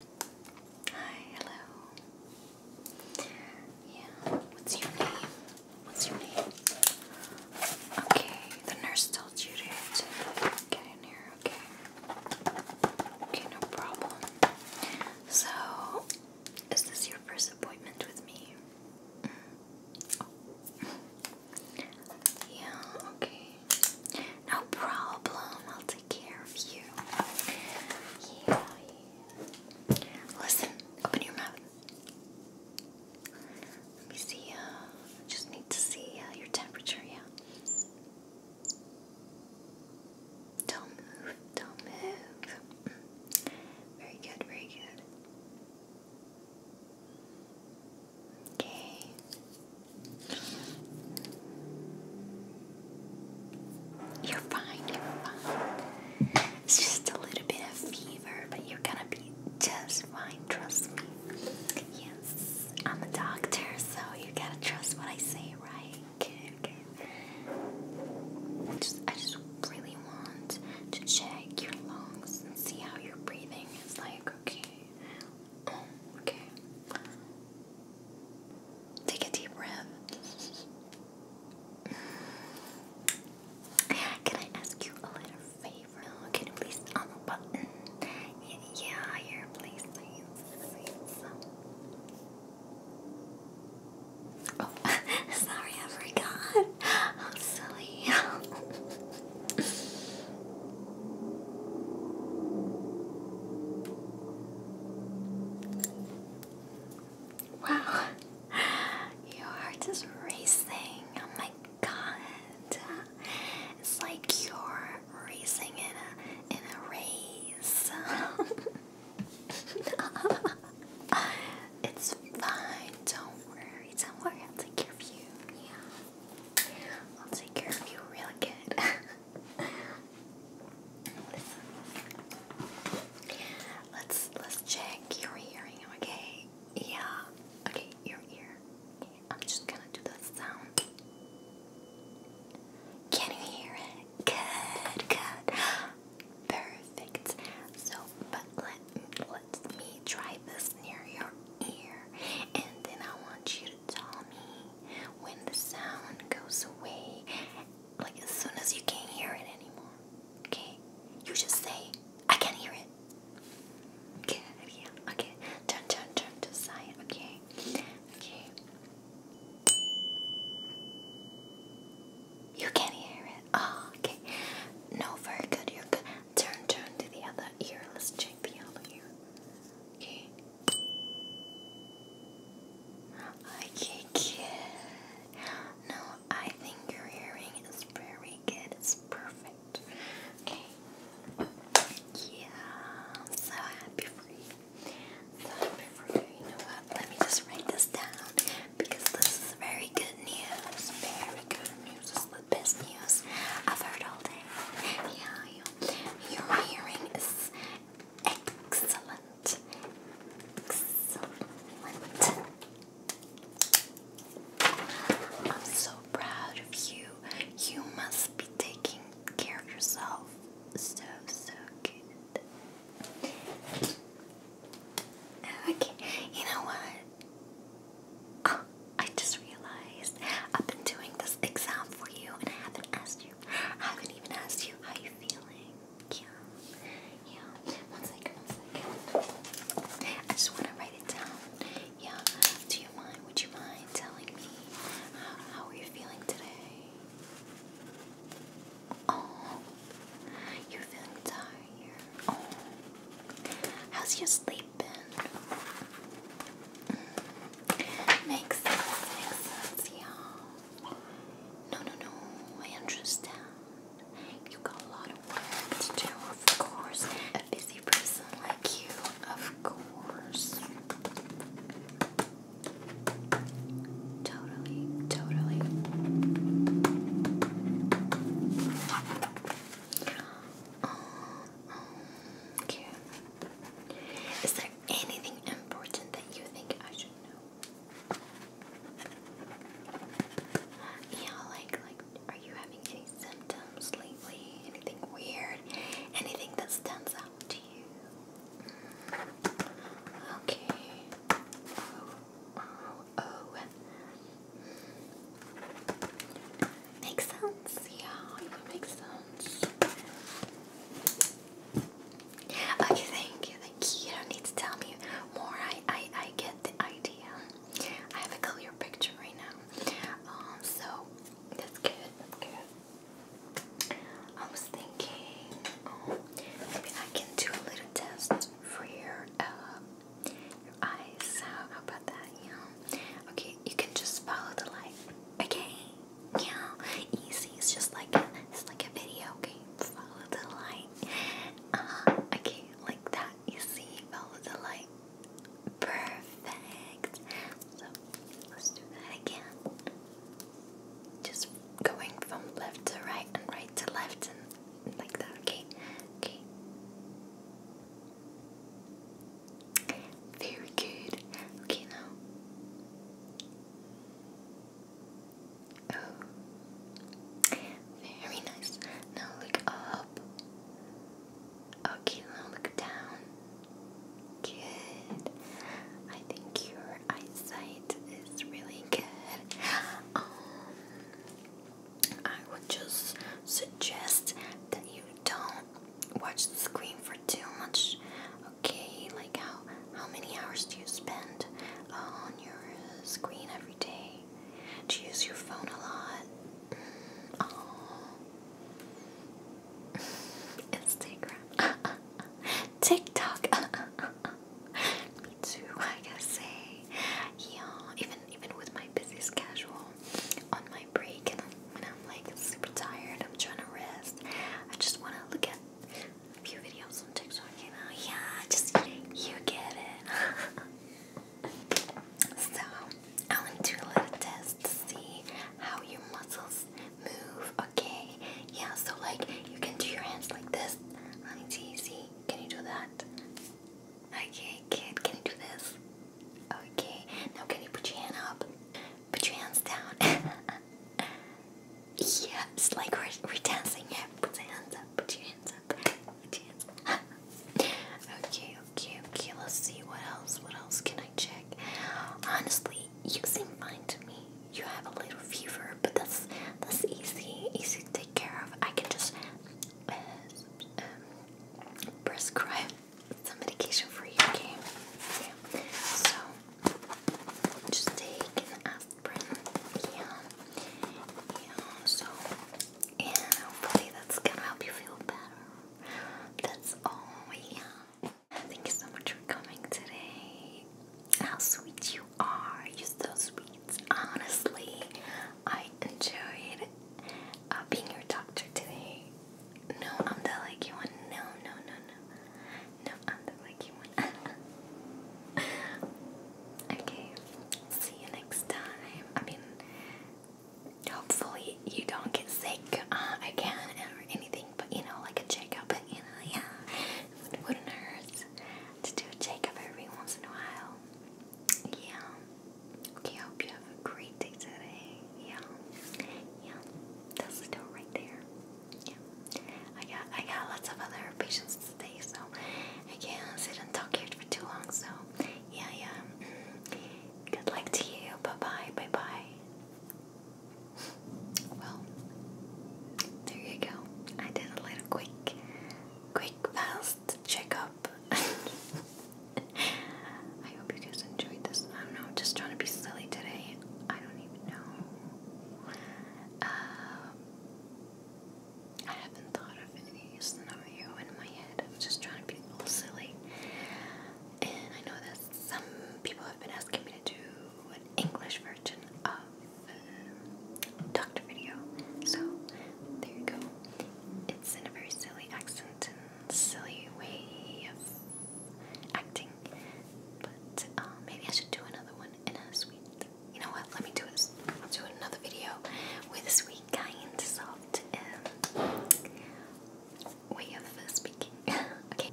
Hi, hello. Yeah, what's your name? What's your name? Okay, the nurse told you to get in here, okay? Okay, no problem. So, is this your first appointment with me? Mm. Oh. Yeah, okay. No problem, I'll take care of you. Yeah, Listen, open your mouth. Let me see, uh, just need to see uh, your temperature, yeah. Don't move, don't move. Very good, very good. Okay. You're fine, you're fine. It's just a little bit of fever, but you're gonna be just fine, trust me. Yes, I'm a doctor, so you gotta trust what I say, right? Okay, just, I just really want to check your lungs and see how your breathing is like, okay? Um, okay. Take a deep breath. Can I ask you a little favor? can you please on the button? Yeah, yeah, please, please, please. Oh, sorry, I forgot. How silly. Wow, your heart is racing. Oh my god. It's like you're racing in a in a race. it's fine, don't worry, don't worry, I'll take care of you. Yeah. I'll take care of you real good. Let's let's check your hearing, okay? Yeah. Okay, your ear. I'm just gonna do that sound. Can you hear it? Good, good. Perfect. So, but let, let me try this near your ear, and then I want you tell me when the sound goes away, like as soon as you can't hear it anymore. Okay? You just say, I can't hear it. Good, Okay, turn, turn, turn to side. Okay, okay. You can hear it. Oh, okay. No, very good. You're good. Turn, turn to the other ear. Let's check the other ear. Okay. Okay, good. No, I think your hearing is very good. It's perfect. Okay. Yeah, so happy for you. So happy for you. Let me just write this down because this is very good news. Very good news. This the best news I've heard all day. Yeah, you your hearing is excellent. Excellent. I'm so proud of you. You must be taking care of yourself. So, so good. Okay, you know what? Oh, I just realized I've been doing this exam for you and I haven't asked you. haven't even asked you how you're feeling. Yeah. Yeah. One second, one second. I just want to write it down. Yeah. Do you mind? Would you mind telling me how, uh, how are you feeling today? Oh, you're feeling tired. Oh, how's your sleep? sleeping. Mm. Makes sense, makes you No, no, no, I understand. You got a lot of work to do, of course. A busy person like you, of course. Totally, totally. Oh, oh, cute. Is there anything important that you think I should know? Yeah, like like are you having any symptoms lately? Anything weird? Anything that stands out to you? Okay. Oh, oh, oh. Makes sense. Yeah, it would make sense. Okay, thank you, thank you. You don't need to tell me more. I, I, I get the idea. I have a clear picture right now. Um, so that's good. That's good. I was thinking, um, maybe I can do a little test for your uh, eyes. How about that? Yeah. Okay you can just follow the light. Okay? Yeah, easy. It's just like a, it's like a video game. Follow the light. Uh, okay, like that. You see, follow the light. Perfect. So let's do that again. Just going from left to right and right to left and like that. Okay. Okay. Very good. Okay, now. Oh. Very nice. Now look up. Okay, now look down. Good. I think your eyesight is really good. Um, I would just suggest that you don't watch the screen for too much. Okay, like how how many hours do you spend on your screen every day? Do you use your phone a lot? Mm, Instagram, TikTok. Me too. I got say, yeah. Even even with my busiest casual on my break and I'm like super tired, I'm trying to rest. I just want to look at a few videos on TikTok, you know? Yeah, just you get it. so, I want to do a little test to see how your muscles move, okay? Yeah, so like you can do your hands like this. Let me Can you do that? Okay, kid, can you do this? Okay, now can you put your hand up? Put your hands down. yeah, like we're, we're dancing. put your hands up, put your hands up, put your hands up. okay, okay, okay, let's see what else, what else can I check? Honestly, you seem fine to me. You have a little fever, but that's that's easy, easy to take care of. I can just uh, um, prescribe some medication for you, okay? Yeah. So just take an aspirin. Yeah. Yeah. So yeah, hopefully that's gonna help you feel better. That's all. Yeah. Thank you so much for coming today. How sweet you are. You're so sweet. Honestly, I enjoyed uh, being your doctor today. No, I'm the lucky one. No, no, no, no. No, I'm the lucky one. okay, see you next time. I mean, hopefully you don't get sick uh, again or anything, but you know, like a checkup, you yeah. It wouldn't hurt to do a checkup every once in a while. Yeah. Okay, I hope you have a great day today. Yeah. Yeah. That's the right there. Yeah. I got I got lots of other patients today, so I can't sit and talk here for too long, so yeah, yeah. Mm-hmm. Good luck to you. Bye-bye, bye-bye. Well, there you go. I did a little quick quick fast checkup I hope you guys enjoyed this. I don't know, am just trying to be silly today. I don't even know. Um, I haven't thought of any scenario in my head. just trying to be a little silly. And I know that some people have been asking me to do an English version of um, doctor video. So there you go. It's in a very silly accent silly way of acting. But uh, maybe I should do another one in a sweet. You know what? Let me do this. will do another video with sweet, kind, soft, um, way of uh, speaking. okay.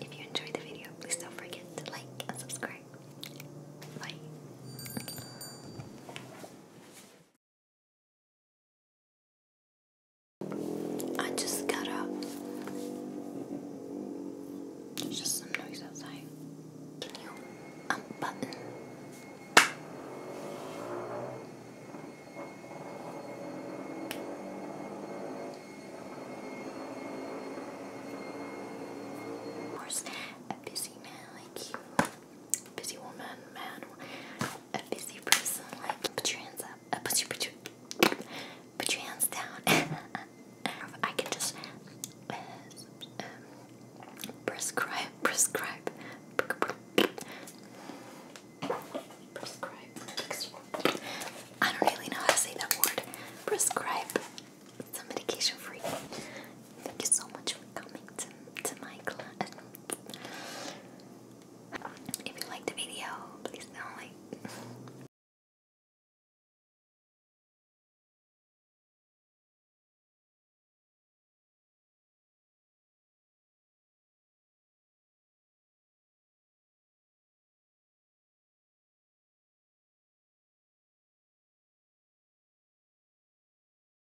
If you enjoyed the video, please don't forget to like and subscribe. Bye. I just got up. There's just some noise outside. Can you unbutton? Of course, a busy man like you, busy woman, man, a busy person. Like put your hands up. Uh, put your put your put your hands down. I can just uh, um, prescribe prescribe prescribe. I don't really know how to say that word. Prescribe some medication for you. Thank you so much for coming to, to my class. If you like the video, please do like.